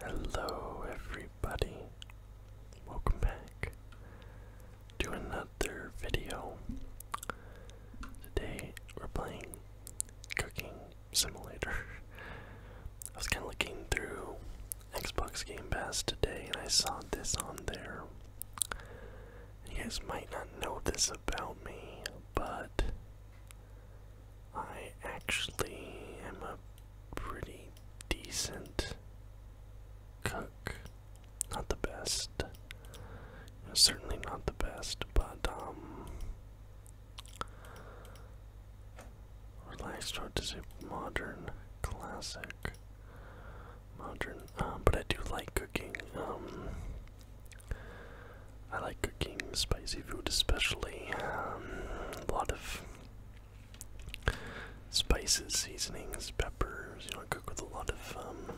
Hello, everybody. Welcome back to another video. Today we're playing Cooking Simulator. I was kind of looking through Xbox Game Pass today and I saw this on there. You guys might not know this about me, but I actually am a pretty decent cook. Not the best. Certainly not the best, but, um. Relaxed, what is a modern classic? Modern, um, but I do like cooking. Um, I like cooking spicy food, especially um, a lot of spices, seasonings, peppers. You know, I cook with a lot of um,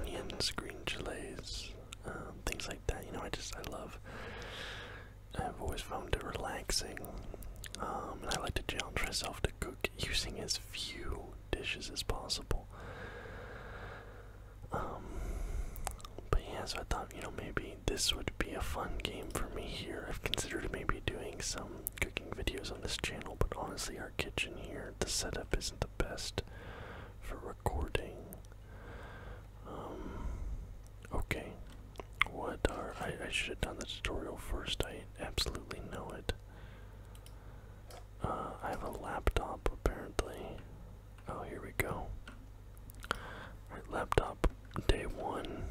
onions, green chilies, uh, things like that. You know, I just I love. I've always found it relaxing, um, and I like to challenge myself to cook using as few dishes as possible. Um, but yeah, so I thought, you know, maybe this would be a fun game for me here. I've considered maybe doing some cooking videos on this channel, but honestly, our kitchen here, the setup isn't the best for recording. Um, okay. What are. I, I should have done the tutorial first, I absolutely know it. Uh, I have a laptop apparently. Oh, here we go. laptop day one.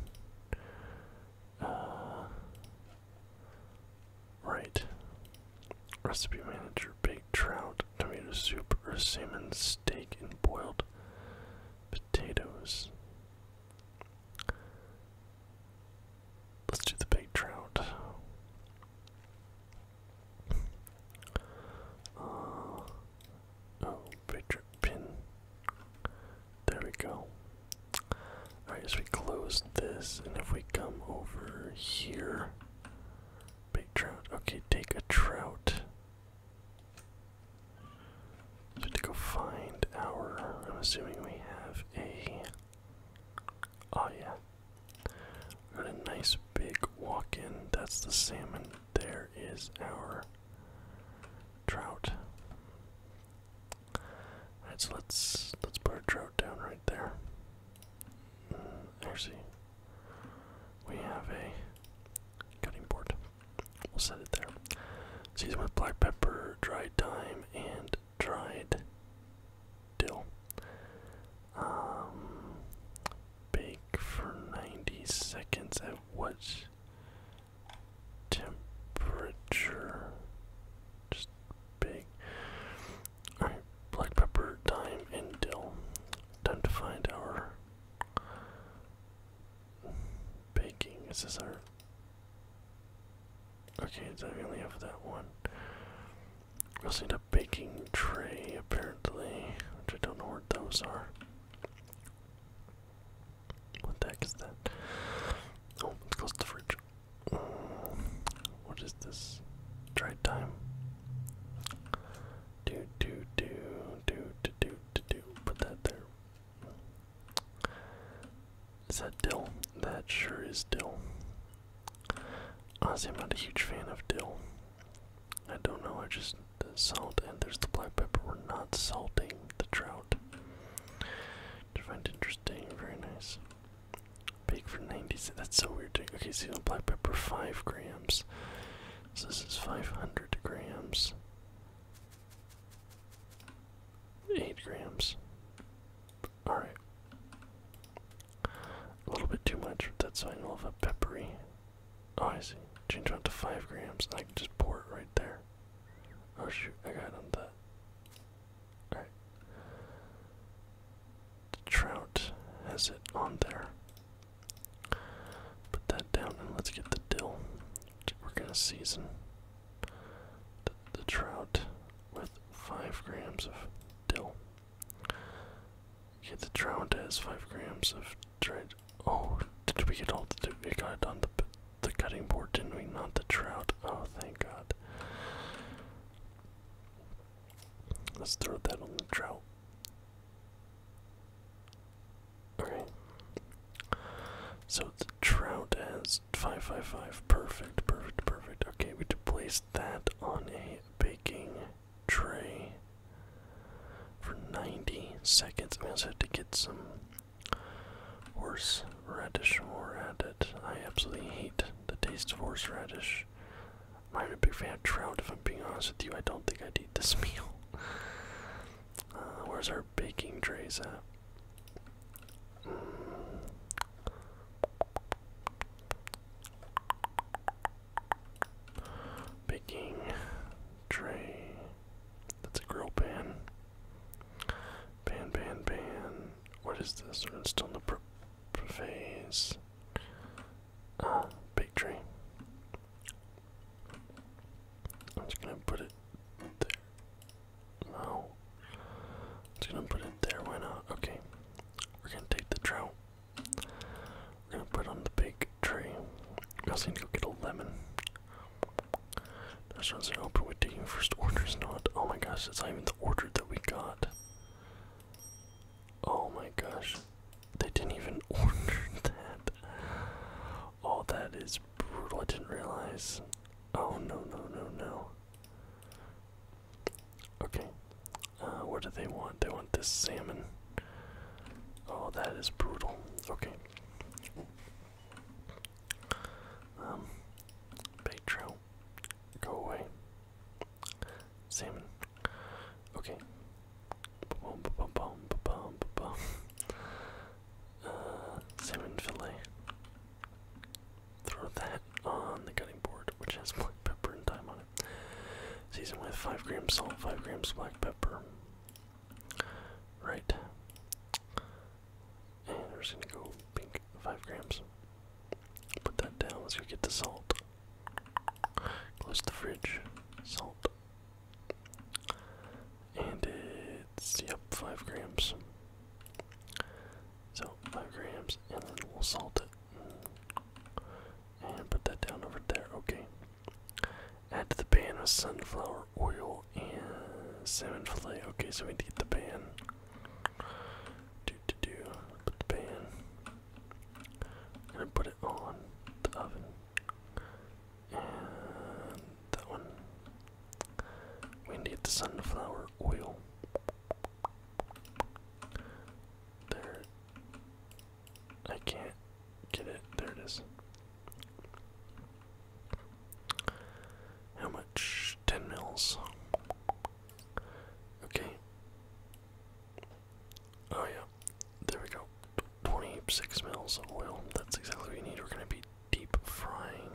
Uh, right. Recipe manager: baked trout, tomato soup, or salmon steak and boiled potatoes. Let's do the baked trout. Uh, oh, picture pin. There we go. Alright, as we close this, and if we come over here, big trout. Okay, take a trout. we have to go find our. I'm assuming we have a. Oh, yeah. Got a nice big walk in. That's the salmon there. Is our trout? Alright, so let's let's put our trout down right there. Mm, actually, we have a cutting board. We'll set it there. Season with black pepper, dried thyme, and dried dill. Um, bake for 90 seconds at what temperature? Just bake. Alright, black pepper, thyme, and dill. Time to find our baking. Is this our. Okay, so we only have that one. We will need a baking tray, apparently, which I don't know where those are. What the is that? Oh, it's close to the fridge. Mm, what is this? Try time. Do do do do do do do do. Put that there. Is that dill? That sure is dill. Honestly, I'm not a huge fan of dill. I don't know, I just salt and there's the black pepper. We're not salting the trout. To find interesting, very nice. Bake for 90 cents. That's so weird. To, okay, see the black pepper, 5 grams. So this is 500 grams. 8 grams. Alright. A little bit too much, that's fine. I know have a peppery Oh, I see. Change it up to five grams, and I can just pour it right there. Oh shoot, I got on that. Alright. The trout has it on there. Put that down and let's get the dill. We're gonna season the, the trout with five grams of dill. Get the trout to has five grams of dried. Oh, did we get all the? We got it on the the cutting board, didn't we? Not the trout. Oh, thank God. Let's throw that on the trout. Okay. So the trout has five five five. Perfect, perfect, perfect. Okay, we to place that on a baking tray for 90 seconds. We also have to get some horseradish more added. I absolutely hate the taste of horseradish. I'm a big fan of trout, if I'm being honest with you. I don't think I'd eat this meal. Uh, where's our baking trays at? Mm. Baking tray. That's a grill pan. Pan, pan, pan. What is this? We're still in the prep phase. Ah, uh, big tray. I'm just gonna put it there. No. I'm just gonna put it there. Why not? Okay. We're gonna take the trout. I'm gonna put on the big tree. I'm going to go get a lemon. This one's an open. We're taking first orders, not. Oh my gosh, that's not even the order that we got. Oh my gosh, they didn't even order that. Oh, that is brutal. I didn't realize. Oh no, no, no, no. Okay, uh, what do they want? They want this salmon. Oh, that is brutal. Okay. Um, bait go away. Salmon. Okay. Uh, salmon fillet. Throw that on the cutting board, which has black pepper and thyme on Season with 5 grams salt, 5 grams black pepper. Right. And we're gonna go pink, 5 grams. Put that down, let's go get the salt. Close the fridge. Salt. And it's, yep, 5 grams. So, 5 grams, and then we'll salt it. And put that down over there. Okay. Add to the pan with sunflower oil and salmon fillet. Okay, so we need the pan. Do do do. Put the pan. i put it on the oven. And that one. We need the sunflower oil. There. I can't get it. There it is. How much? 10 mils. Okay. Oh, yeah. There we go. 26 mils of oil. That's exactly what we need. We're going to be deep frying.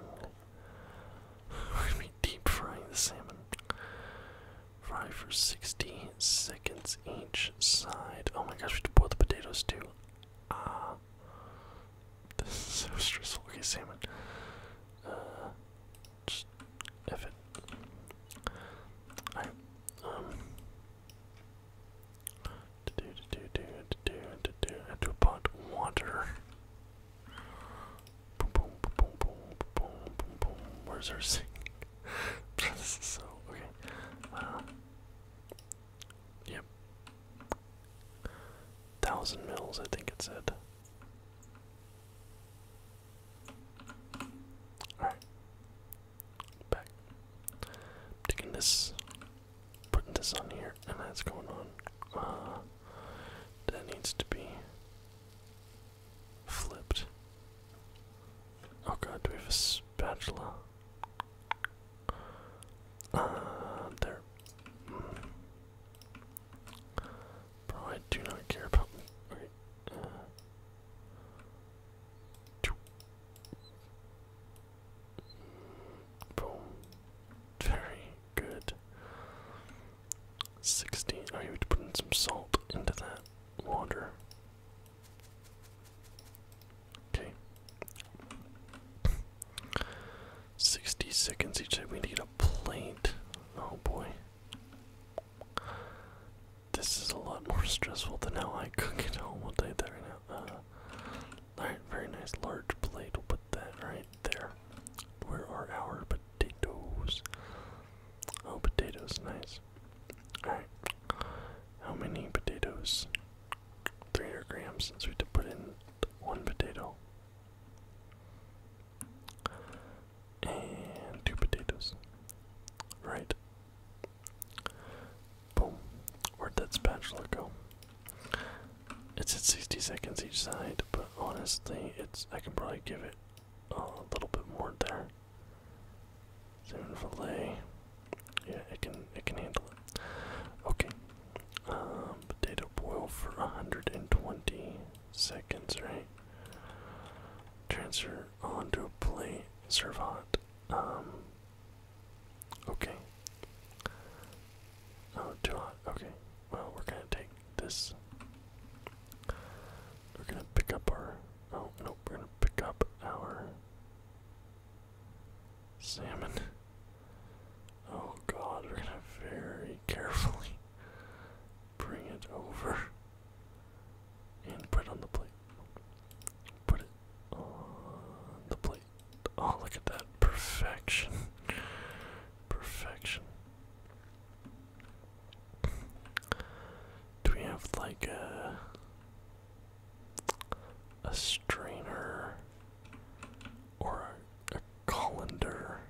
We're going to be deep frying the salmon. Fry for 60 seconds each side. Oh my gosh, we have to boil the potatoes too. Ah. Uh, this is so stressful. Okay, salmon. Uh, just F it. Alright. Um. To do, to do, to do, to do, I have to put water. Boom, boom, boom, boom, boom, boom, boom, boom. Where's our sink? so okay. Uh, yep. Thousand mils, I think it said. Alright. Back. Taking this, putting this on here, and that's going on. Uh, that needs to be flipped. Oh god, do we have a spatula? Uh, there. Bro, I do not care about. Okay. Uh, two. Boom. Very good. 16. I oh, need to put in some salt into that water. Okay. 60 seconds each. We need a plate. Oh boy. This is a lot more stressful than how I cook at home. We'll take that right now. Alright, very nice large plate. We'll put that right there. Where are our potatoes? Oh, potatoes, nice. Alright. How many potatoes? 300 grams, Since we put in one potato. And two potatoes. Right. Boom. Where'd that spatula go? It's at 60 seconds each side, but honestly, it's I can probably give it a little bit more there. Seven fillet. Yeah, it can it can handle it. Okay. Um, potato boil for 120 seconds, right? Transfer onto a plate. Serve hot. Um, okay. Oh, too hot. Okay. Well, we're gonna take this. We're gonna pick up our. Oh no, we're gonna pick up our salmon. Oh god, we're gonna very carefully bring it over and put on the plate. Put it on the plate. Oh, look at that. Perfection. Perfection. Do we have like a a strainer or a, a colander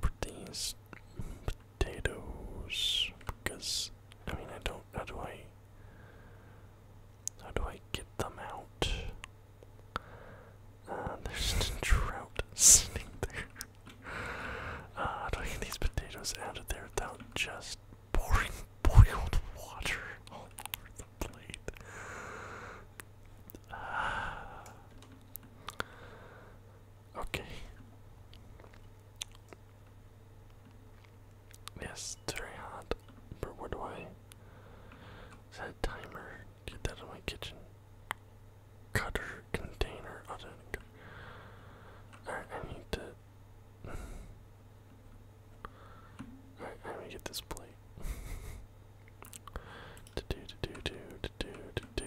for these potatoes because I mean I don't how do I how do I get them out? Uh, there's a drought sitting there. I don't think these potatoes out of there without just pouring boiled water all over the plate. Ah. okay. Yes, it's very hot. But where do I set timer? Get that in my kitchen. Cutter container. I'll just, need to. I'm gonna get this plate. to do, to do, do, do, do.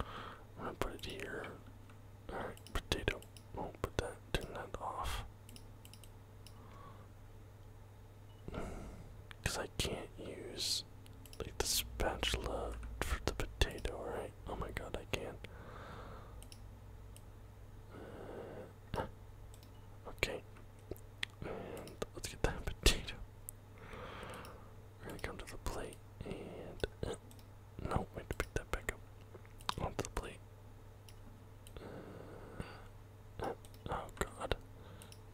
I'm gonna put it here. Alright, potato. Oh, put that, turn that off. Because I can't use like the spatula for the potato, right? Oh my god, I can. not uh, okay. let's get that potato. We're gonna come to the plate and. Uh, no, wait to pick that back up. Onto the plate. Uh, oh god.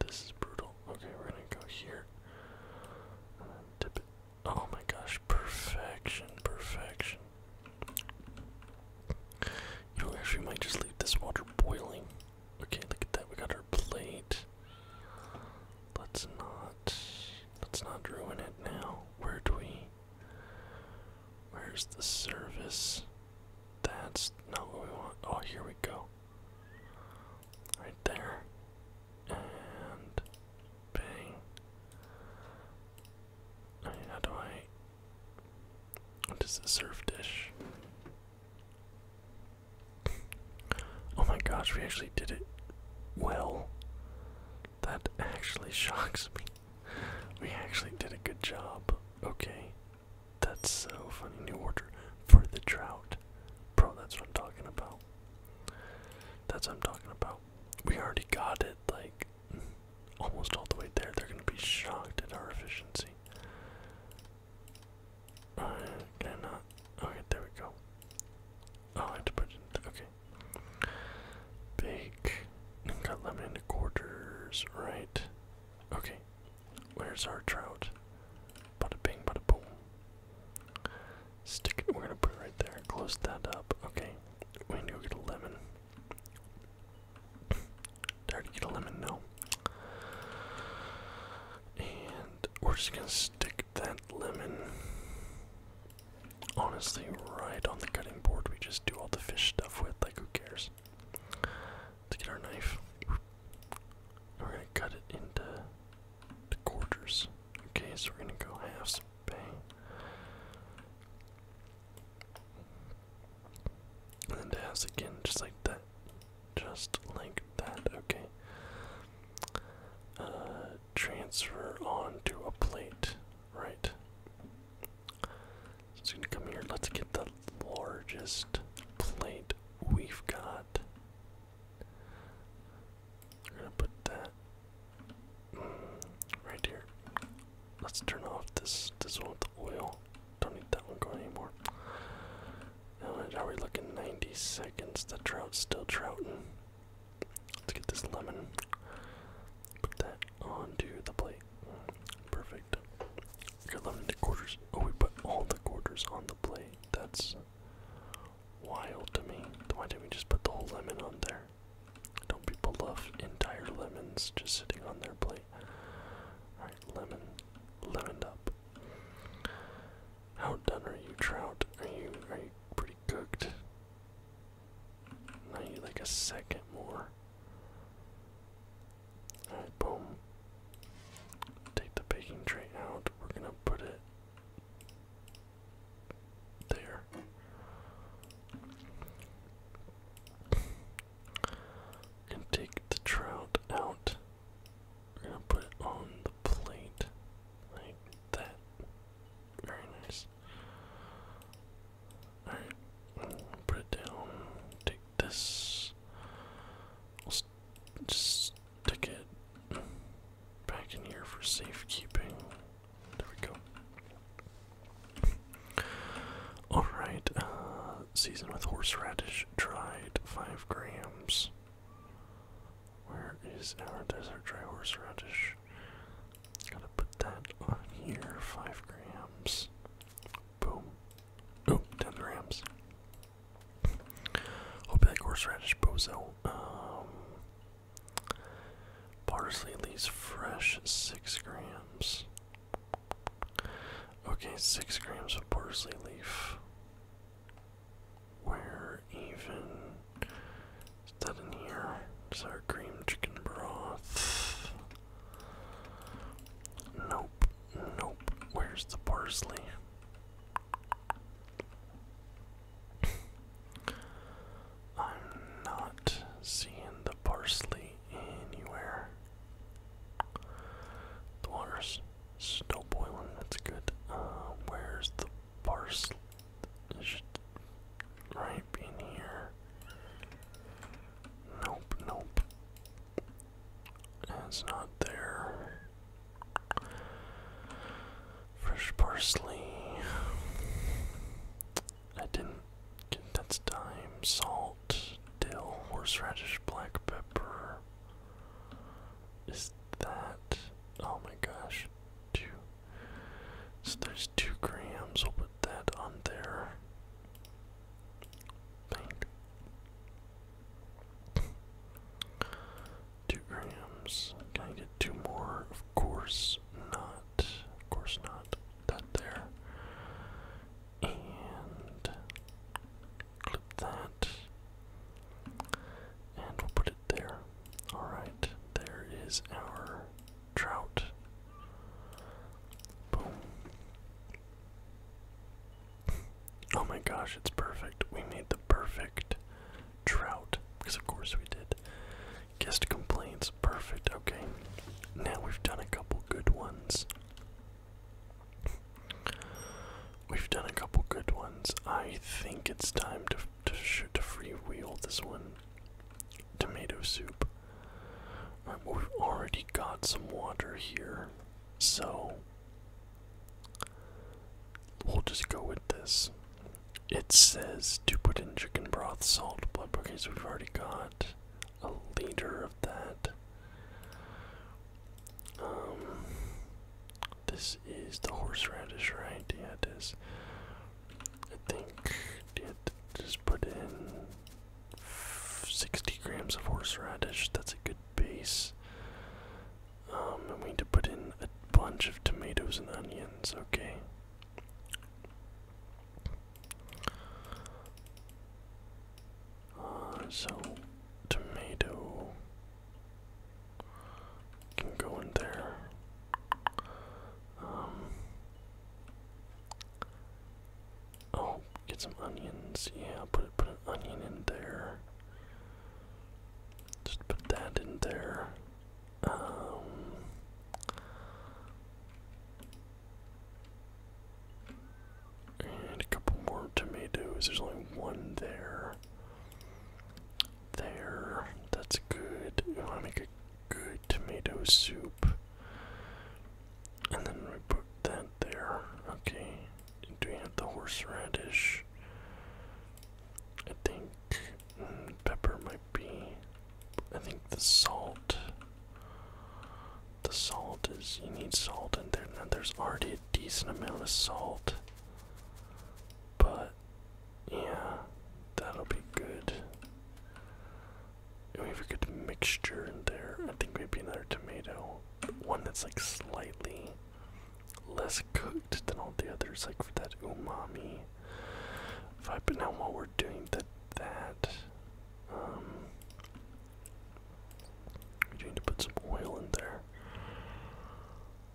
This is brutal. Okay, we're gonna go here. And dip it Oh my gosh, perfection, perfection. You actually might just leave this water boiling. Okay, look at that, we got our plate. Let's not let's not ruin it now. Where do we Where's the service? That's not what we want. Oh, here we go. Right there. And Bang. how do I. What is the surf dish? oh my gosh, we actually did it well. That actually shocks me. We actually did a good job. Okay. That's so funny. New order for the drought. Bro, that's what I'm talking about. That's what I'm talking about. We already got it, like, almost all the way there. They're gonna be shocked at our efficiency. Uh, I not? Okay, there we go. Oh, I have to put it in. Okay. Bake. Cut lemon into quarters, right? Okay. Where's our trout? Bada bing, bada boom. Stick it. We're gonna put it right there. Close that up. Okay. We need to get a lemon. Dare to get a lemon? No. And we're just gonna stick that lemon. Honestly, right on the cutting board. We just do all the fish stuff with. Like, who cares? To get our knife. We're gonna cut it into to quarters. Okay, so we're gonna go have some pay. And then again, just like that. Just like that, okay. Uh, transfer onto a plate, right? So it's gonna come here. Let's get the largest plate we've got. We're gonna put that mm, right here. Let's turn off this this one with the oil. Don't need that one going anymore. How much are we looking? 90 seconds. The trout's still trouting. Let's get this lemon. Put that onto the plate. Perfect. Your lemon to quarters. Oh, we put all the quarters on the plate. That's wild to me. Why didn't we just put the whole lemon on there? Don't people love entire lemons just sitting on their plate? Alright, lemon. Lemoned up. How done are you, Trout? Are you are you pre cooked? I need like a second more. Alright, boom. Take the baking tray out. We're gonna put it there. Can take the trout out. We're gonna put on the plate like that. Very nice. Alright, put it down. Take this. just stick it back in here for safekeeping. There we go. Alright, uh, season with horseradish dried 5 grams. Where is our desert dry horseradish? Gotta put that on here, 5 grams. Boom. Oh, 10 grams. Hope that horseradish bozo. Um, Parsley leaves fresh six grams. Okay, six grams of parsley leaf. Where even is that in here? Is our cream chicken broth? Nope, nope. Where's the parsley? I'm not seeing the parsley anywhere. The water's still boiling, that's good. Uh, where's the parsley? It should right in here. Nope, nope. It's not there. Fresh parsley. I didn't get that's thyme, salt, dill, horseradish, black pepper. Is that oh my gosh. Two so there's two grams, we'll put that on there. Bang. Two grams. Can I get two more? Of course not. Of course not. That there. And clip that. And we'll put it there. Alright, there is our trout. Boom. Oh my gosh, it's perfect. We made the perfect Trout, because of course we did. Guest complaints, perfect, okay. Now we've done a couple good ones. We've done a couple good ones. I think it's time to to shoot to freewheel this one. Tomato soup. All um, right, we've already got some water here, so we'll just go with this. It says to put in chicken broth, salt, blood. Okay, so we've already got a liter of that. Um, this is the horseradish, right? Yeah, it is. I think it just put in 60 grams of horseradish. That's a good base. I'm um, going to put in a bunch of tomatoes and onions, okay. Uh, so, tomato can go in there. Um, oh, get some onions. Yeah, put put an onion in there. Just put that in there. Um, and a couple more tomatoes. There's only one there. There. That's good. We want to make a good tomato soup. And then we put that there. Okay. and Do we have the horseradish? I think Pepper might be. I think the salt. The salt is. You need salt and there's already a decent amount of salt. But. Yeah. That'll be good. And we have a good mixture in there. I think maybe another tomato. One that's like slightly less cooked than all the others, like for that umami vibe. But now while we're doing that that, um, we need to put some oil in there.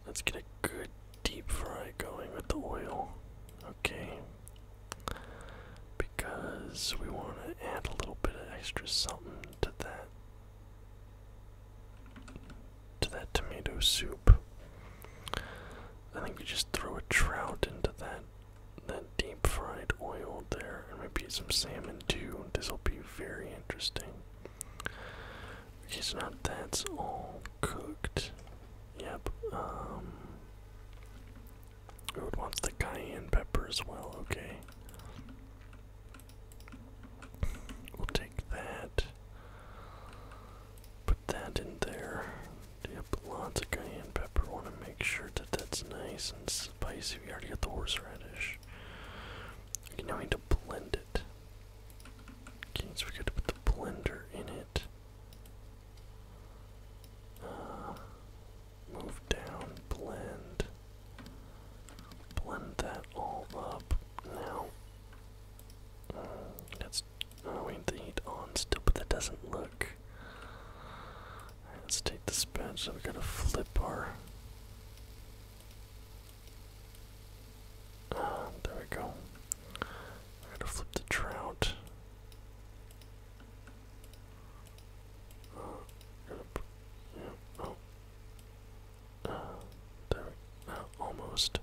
Let's get a good deep fry going with the oil, okay? Because we want to add a little bit of extra something to that to that tomato soup. I think we just throw a trout into that that deep fried oil there, and maybe some salmon too. This'll be very interesting. Okay, so now that's all cooked. Yep. Um. Oh, wants the cayenne pepper as well. Okay. We'll take that. Put that in there. Yep, lots of cayenne pepper. Want to make sure that that's nice and spicy. We already got the horseradish. Okay, now we need to blend it. Okay, so we got to put the blender in it. Uh, move down, blend. Blend that all up. Now, mm, that's we need the heat on still, but that doesn't look. let's take this badge. So we gotta flip our. Uh, there we go. gotta flip the trout. Uh, got oh. Uh, there almost.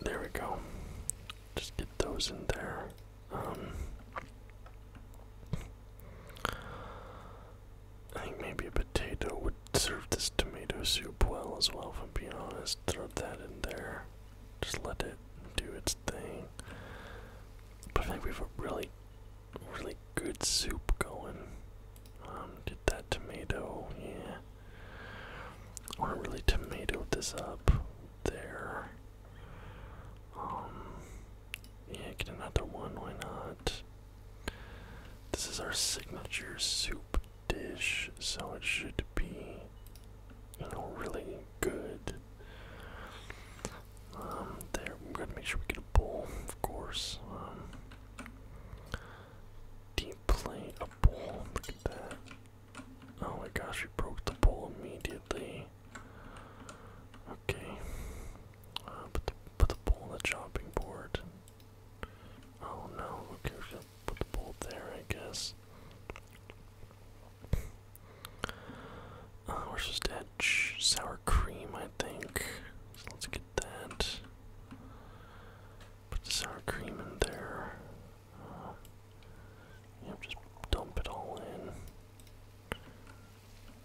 There we go. Just get those in there. Um, I think maybe a potato would serve this tomato soup well as well, if I'm being honest. Throw that in there. Just let it do its thing. But I think we have a really, really good soup going. Um, did that tomato, yeah. I want to really tomato this up there. Um, yeah, get another one, why not? This is our signature soup dish, so it should be, you know, really good. Um, there, we gotta make sure we get a bowl, of course. Um, deep plate, Oh my gosh, we broke the bowl immediately. Okay. Uh, put, the, put the pole on the chopping board. Oh no, okay, put the pole there, I guess. Uh, sour cream, I think. let's get that. Put the sour cream in there. Uh, just dump it all in.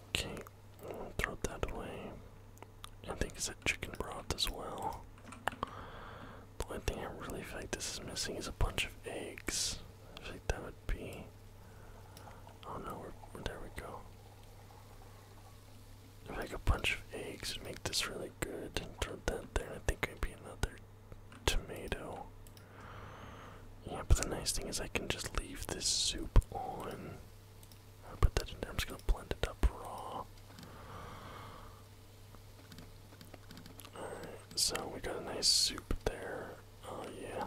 Okay, i throw that away. I think it's a chicken broth as well. The one thing I really feel like this is missing is a bunch of eggs. I think that would be. Oh no, we there we go make a bunch of eggs and make this really good and throw that there. I think it'd be another tomato. Yeah, but the nice thing is I can just leave this soup on. I'll put that in there. I'm just gonna blend it up raw. Alright, so we got a nice soup there. Oh yeah,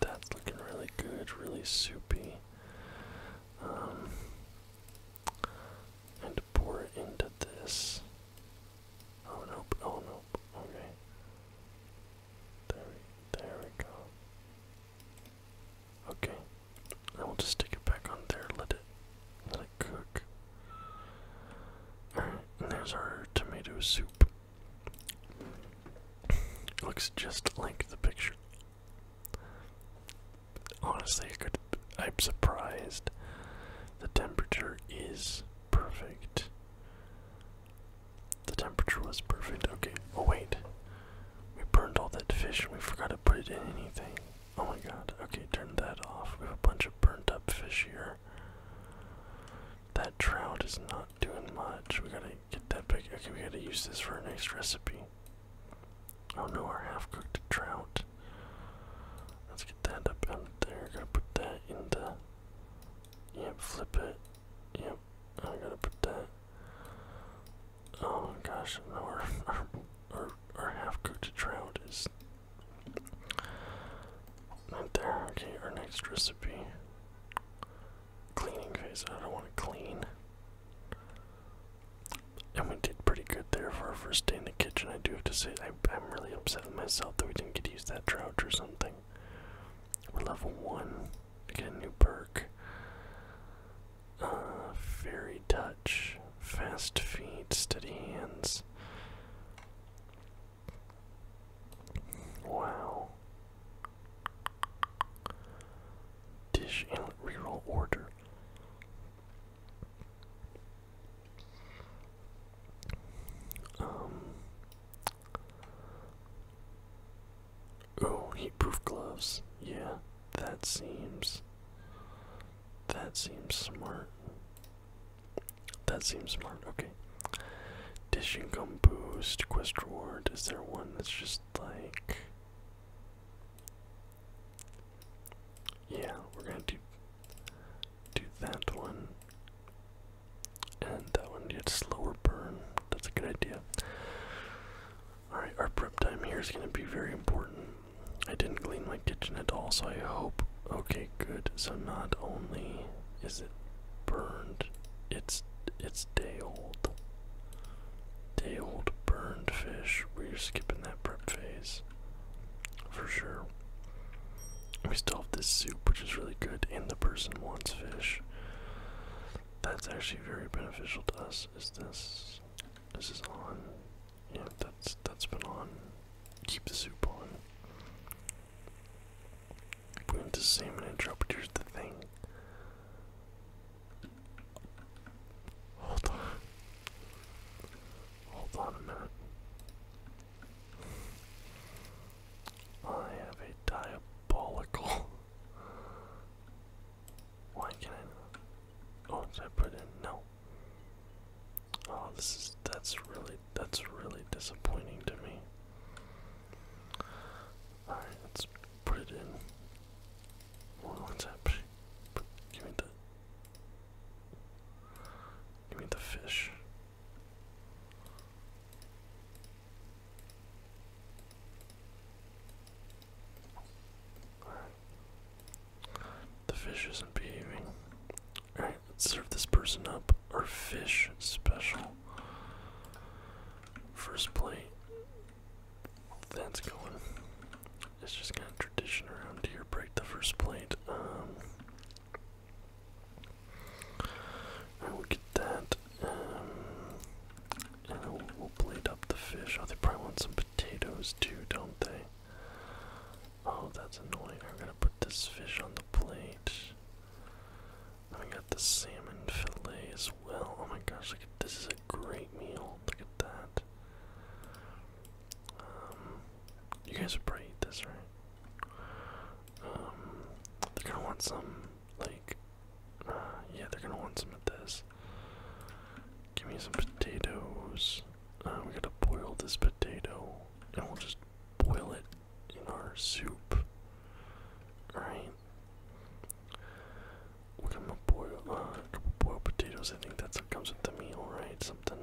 that's looking really good, really soupy. Um, and pour it into this. Oh no! Oh no! Okay. There we, go. Okay. I will just stick it back on there. Let it, let it cook. and there's our tomato soup. looks just like the picture. Honestly, I am surprised. The temperature is perfect. The temperature was perfect. Okay. Oh wait, we burned all that fish and we forgot to put it in anything. Oh my god. Okay, turn that off. We have a bunch of burnt up fish here. That trout is not doing much. We gotta get that big. Okay, we gotta use this for a next recipe. Oh no, our half-cooked trout. Let's get that up out there. Gotta put that in the. Yep, flip it. Yep, I gotta put that. Oh gosh, no, our our our, our half-cooked trout is not there. Okay, our next recipe. Cleaning phase. I don't want to clean. And we did pretty good there for our first day in the kitchen. I do have to say, I, am really upset with myself that we didn't get to use that trout or something. We're level 1. get a new perk. Uh, fairy touch. Fast feet, steady hands. Wow. Dish in reroll order. Um, oh, heatproof gloves. Yeah, that seems. That seems smart. That seems smart. Okay. Dish income boost, quest reward. Is there one that's just like. Yeah, we're gonna do do that one. And that one gets slower burn. That's a good idea. Alright, our prep time here is gonna be very important. I didn't clean my kitchen at all, so I hope okay good. So not only is it burned, it's it's day old. Day old burned fish. We're skipping that prep phase for sure. We still have this soup, which is really good, and the person wants fish. That's actually very beneficial to us. Is this? This is on. Yeah, that's that's been on. Keep the soup on. We went to salmon and the thing. Hold on. Hold on a minute. I have a diabolical. Why can't Oh, did I put in? No. Oh, this is. That's really. That's really disappointing to me. Alright, let's put it in. What's up? Give me the. Give me the fish. The fish isn't behaving. Alright, let's serve this person up. Our fish special. First plate that's going. It's just kind of tradition around here. Break the first plate. Um, I will get that. Um, and we'll, plate up the fish. Oh, they probably want some potatoes too, don't they? Oh, that's annoying. I'm gonna put this fish on the plate. I got the salmon fillet as well. Oh my gosh, look at this is a great meal. Look at that. Um, you guys would probably eat this, right? Um, they're gonna want some, like, uh, yeah, they're gonna want some of this. Give me some potatoes. Uh, we gotta boil this potato, and we'll just boil it in our soup. Alright. We're gonna boil uh, couple boiled potatoes. I think that's what comes with the meal, right? Something.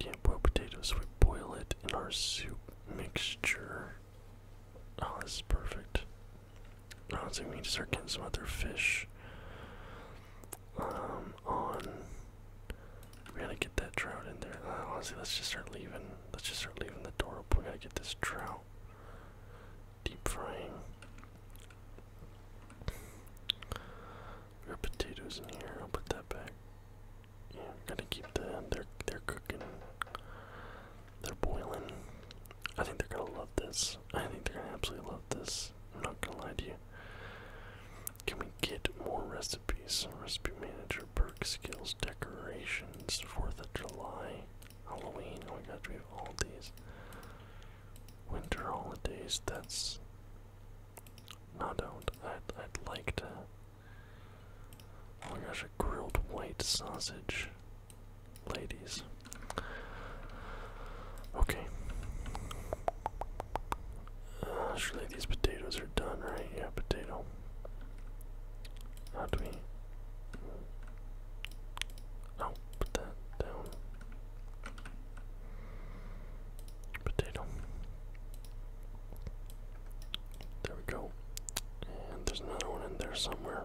Yeah, not potatoes. We boil it in our soup mixture. Oh, this is perfect. Oh, I we need to start getting some other fish. Um, on. We gotta get that trout in there. Uh, honestly, let's just start leaving. Let's just start leaving the door open. We gotta get this trout deep frying. We potatoes in here. I'll put that back. Yeah, gotta keep the they're they're cooking. They're boiling. I think they're gonna love this. I think they're gonna absolutely love this. I'm not gonna lie to you. Can we get more recipes? Recipe manager, perk skills, decorations, 4th of July, Halloween. Oh my god, we have all these winter holidays. That's not out. I'd, I'd like to. Oh my gosh, a grilled white sausage. Ladies. Okay. Uh, surely these potatoes are done, right? Yeah, potato. How do Oh, put that down. Potato. There we go. And there's another one in there somewhere.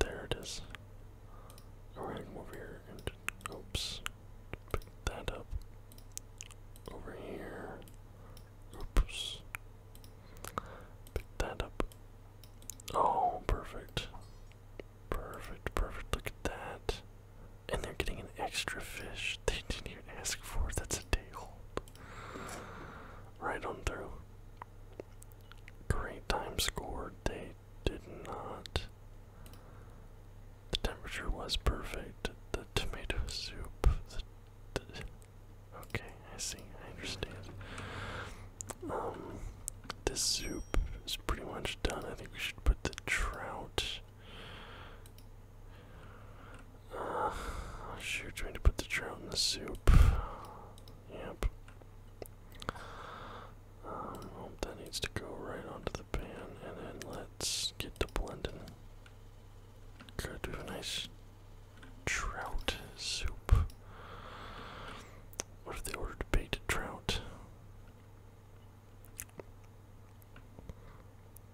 There it is. Alright, over here oops. Pick that up. Over here. Oops. Pick that up. Oh, perfect. Perfect, perfect. Look at that. And they're getting an extra fish they didn't even ask for. That's a day old. Right on through. Great time scored. They did not. The temperature was perfect. The tomato soup. okay, I see. I understand. Um, this soup is pretty much done. I think we should put the trout. Uh, shoot, trying to put the trout in the soup. Yep. Um, that needs to go right onto the pan, and then let's get to blending. Good, to do a nice trout soup. What if they ordered baited trout?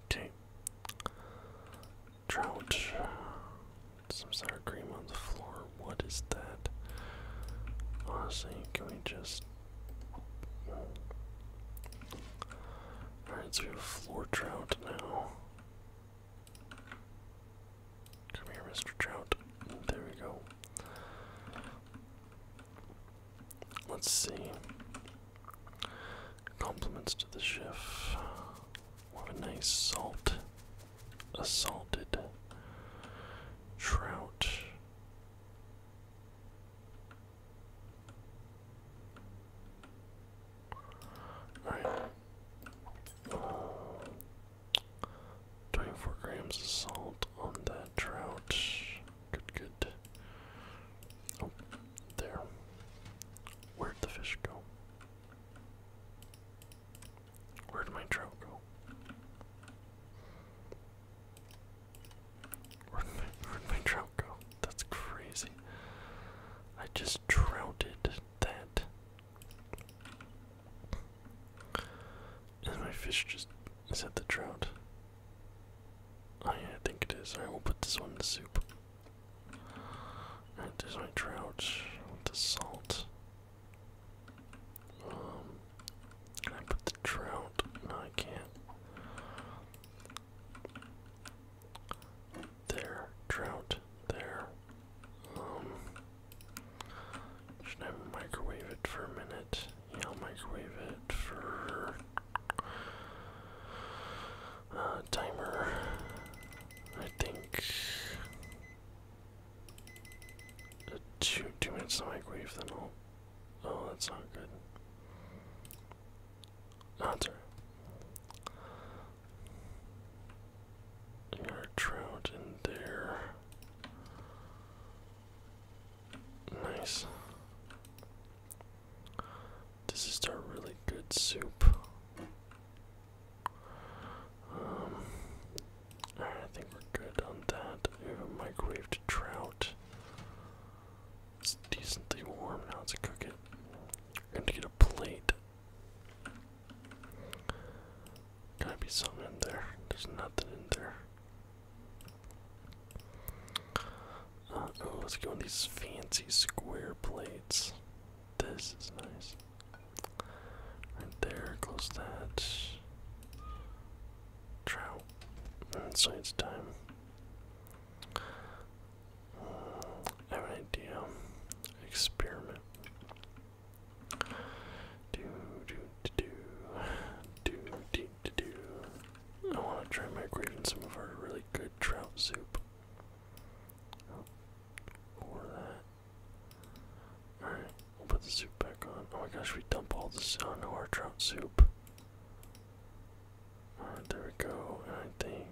Okay. Trout. Some sour cream on the floor. What is that? Honestly, can we just. Alright, so we have floor trout now. Come here, Mr. Trout. There we go. Let's see. Compliments to the chef. What a nice salt. Assaulted trout. Alright. 24 grams of salt on that trout. Good, good. Oh, there. Where'd the fish go? Where'd my trout go? Where'd my, trout go? That's crazy. I just trouted that. And my fish just. said the trout? Oh, yeah, I think it is. Alright, we'll put this one in the soup. Alright, there's my trout with the salt. Um, I put the trout? No, I can't. There, trout, there. Um, should I microwave it for a minute? Yeah, microwave it for uh timer. I think two two minutes to microwave then i Oh, that's not good. Answer. Ah, Another trout in there. Nice. This is a really good soup. Um, I think we're good on that. We have a microwaved trout. It's decently warm now to cook it. We're going to get a plate Gotta be something in there. There's nothing in there. oh, let's go in these fancy square plates. This is nice. Right there, close that. Trout. Mm, so it's time. Mm, I have an idea. Experiment. I want to try microwaving some of our really good trout soup. Oh, that. All right, we'll put the soup back on. Oh my gosh, we dump all this on our trout soup. All right, there we go. I think.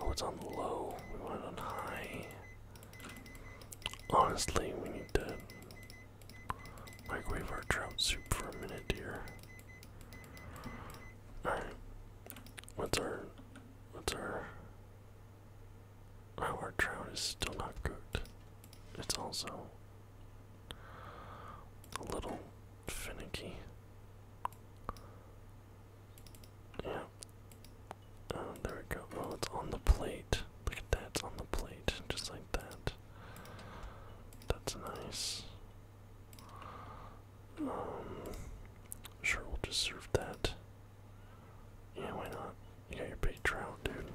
Oh, it's on low. We want it on high. Honestly, we need to microwave our trout soup for a minute dear. Alright. What's our. What's our. our trout is still not cooked. It's also a little finicky. Yeah. Oh, there we go. Well, it's on the plate. Look at that, it's on the plate, just like that. That's nice. Um, sure, we'll just serve that. Yeah, why not? You got your big trout, dude.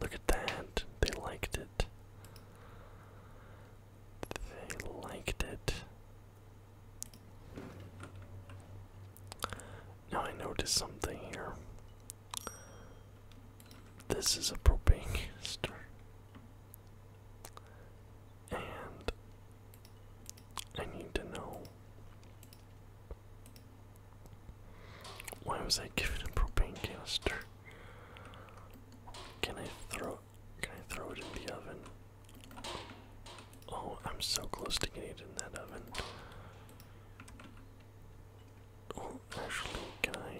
Look at that, they liked it. They liked it. Now I noticed something here. This is a propane canister. And I need to know why was I given a propane canister? Can I throw it? Can I throw it in the oven? Oh, I'm so close to getting it in that oven. Oh, actually, can I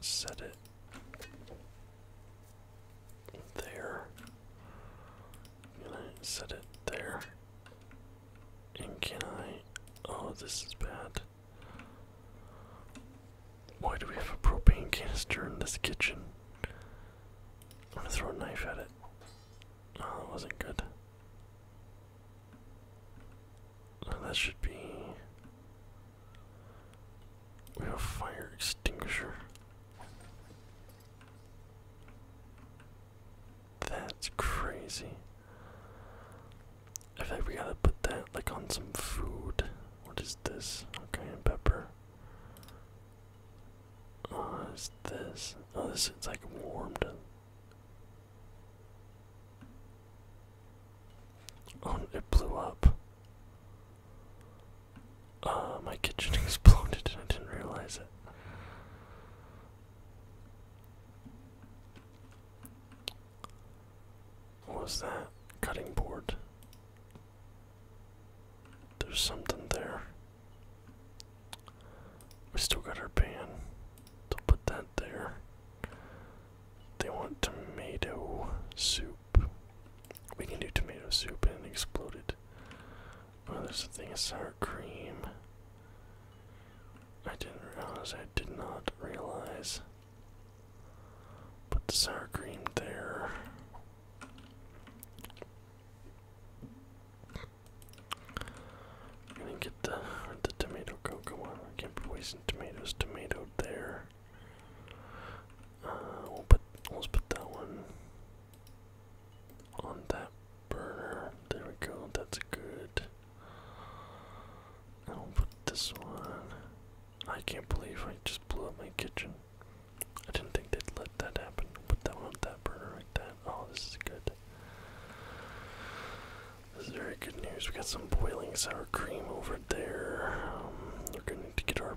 set it there? Can I set it there? And can I? Oh, this is bad. Why do we have a propane canister in this kitchen? I'm gonna throw a knife at it. Oh, that wasn't good. that should be. We have a fire extinguisher. That's crazy. I think we gotta put that like on some food. What is this? Okay, pepper. Oh, is this? Oh, this is like warmed. Oh, it blew up. Uh, my kitchen exploded and I didn't realize it. What was that? Cutting board. There's something there. We still got our pan. So put that there. They want tomato soup. We can do tomato soup and exploded. Oh, there's a thing of sour cream. I didn't realize, I did not realize. Put the sour cream there. I'm gonna get the the tomato cocoa one. I can't be wasting tomatoes. Tomato there. Uh, we'll put let's put that one on that burner. There we go. That's good. I'll put this one I can't believe I just blew up my kitchen. I didn't think they'd let that happen. Put that one, that burner like that. Oh, this is good. This is very good news. We got some boiling sour cream over there. Um, we're gonna get our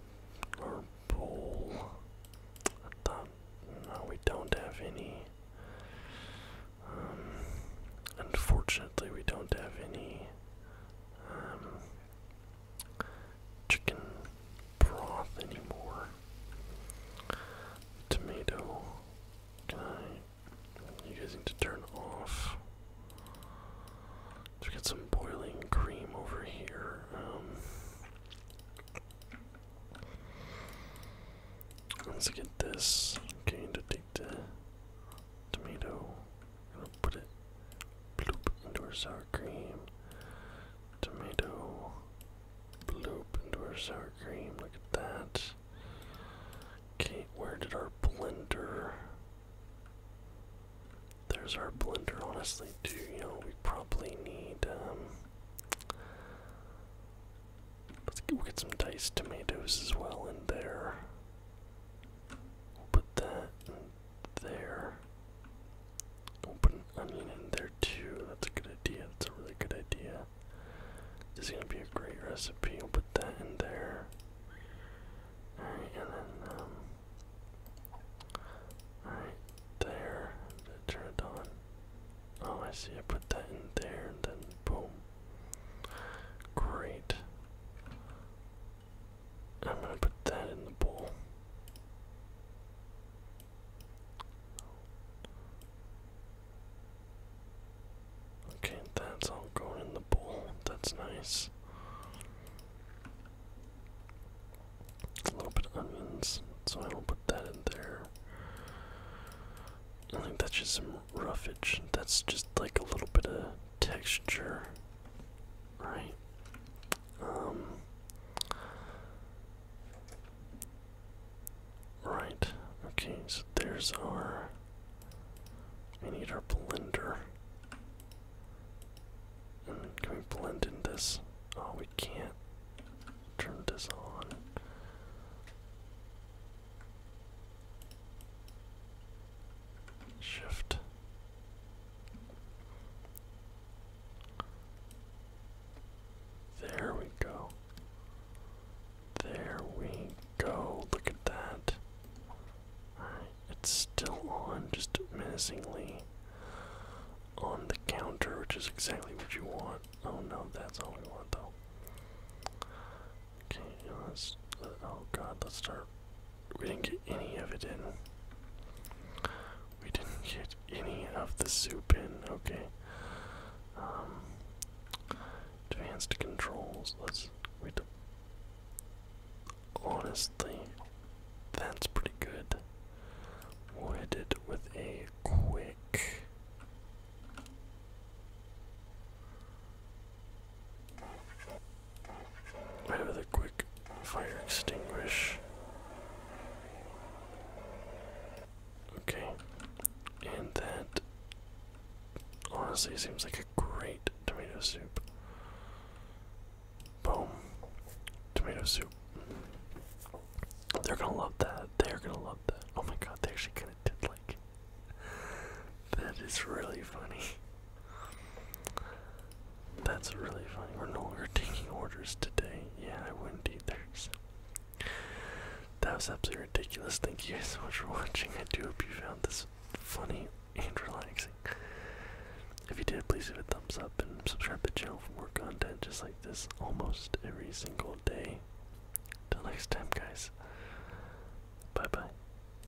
our bowl. I thought no, we don't have any. Um, unfortunately, we don't have any. Um, chicken broth anymore. Tomato. You guys need to turn off. Let's get some boiling cream over here. Um, let's get this. Okay, to take the tomato gonna put it bloop into our sour cream. Tomato bloop into our sour cream. Look at that. Okay, where did our blender? There's our blender, honestly, too. You know, we probably need, um, let's get some diced tomatoes as well in there. We'll put that there. We'll put an onion in there too. That's a good idea. That's a really good idea. This is gonna be a great recipe. We'll put that in there. Alright, um, there. Turn it on. Oh I see, I put that in there and then boom. Great. I'm gonna put that in the bowl. Okay, that's all going in the bowl. That's nice. A little bit of onions, so I will put that in there. I think that's just some roughage. That's just like a little bit of texture right? Um. right, okay, so there's our. We need our blender. can we blend in this? Oh, we can't turn this on. Shift. There we go. There we go. Look at that. Alright, it's still on, just menacingly on the counter, which is exactly what you want. Oh no, that's all we want though. Okay, let's. oh god, let's start. We didn't get any of it in. We didn't get any of the soup in. Okay. Um. Advanced controls. Let's. We. Do, honestly, that's pretty good. We'll with a quick. Right with a quick fire extinguish. Okay, and that honestly seems like a great tomato soup. Boom. Tomato soup. They're gonna love that. They're gonna love that. Oh my god, they actually kinda did like That is really funny. That's really funny. We're no longer taking orders today. Yeah, I wouldn't either. So. That was absolutely ridiculous. Thank you guys so much for watching. I do hope you found this funny and relaxing. If you did, please give it a thumbs up and subscribe to the channel for more content just like this almost every single day. Till next time, guys. Bye bye.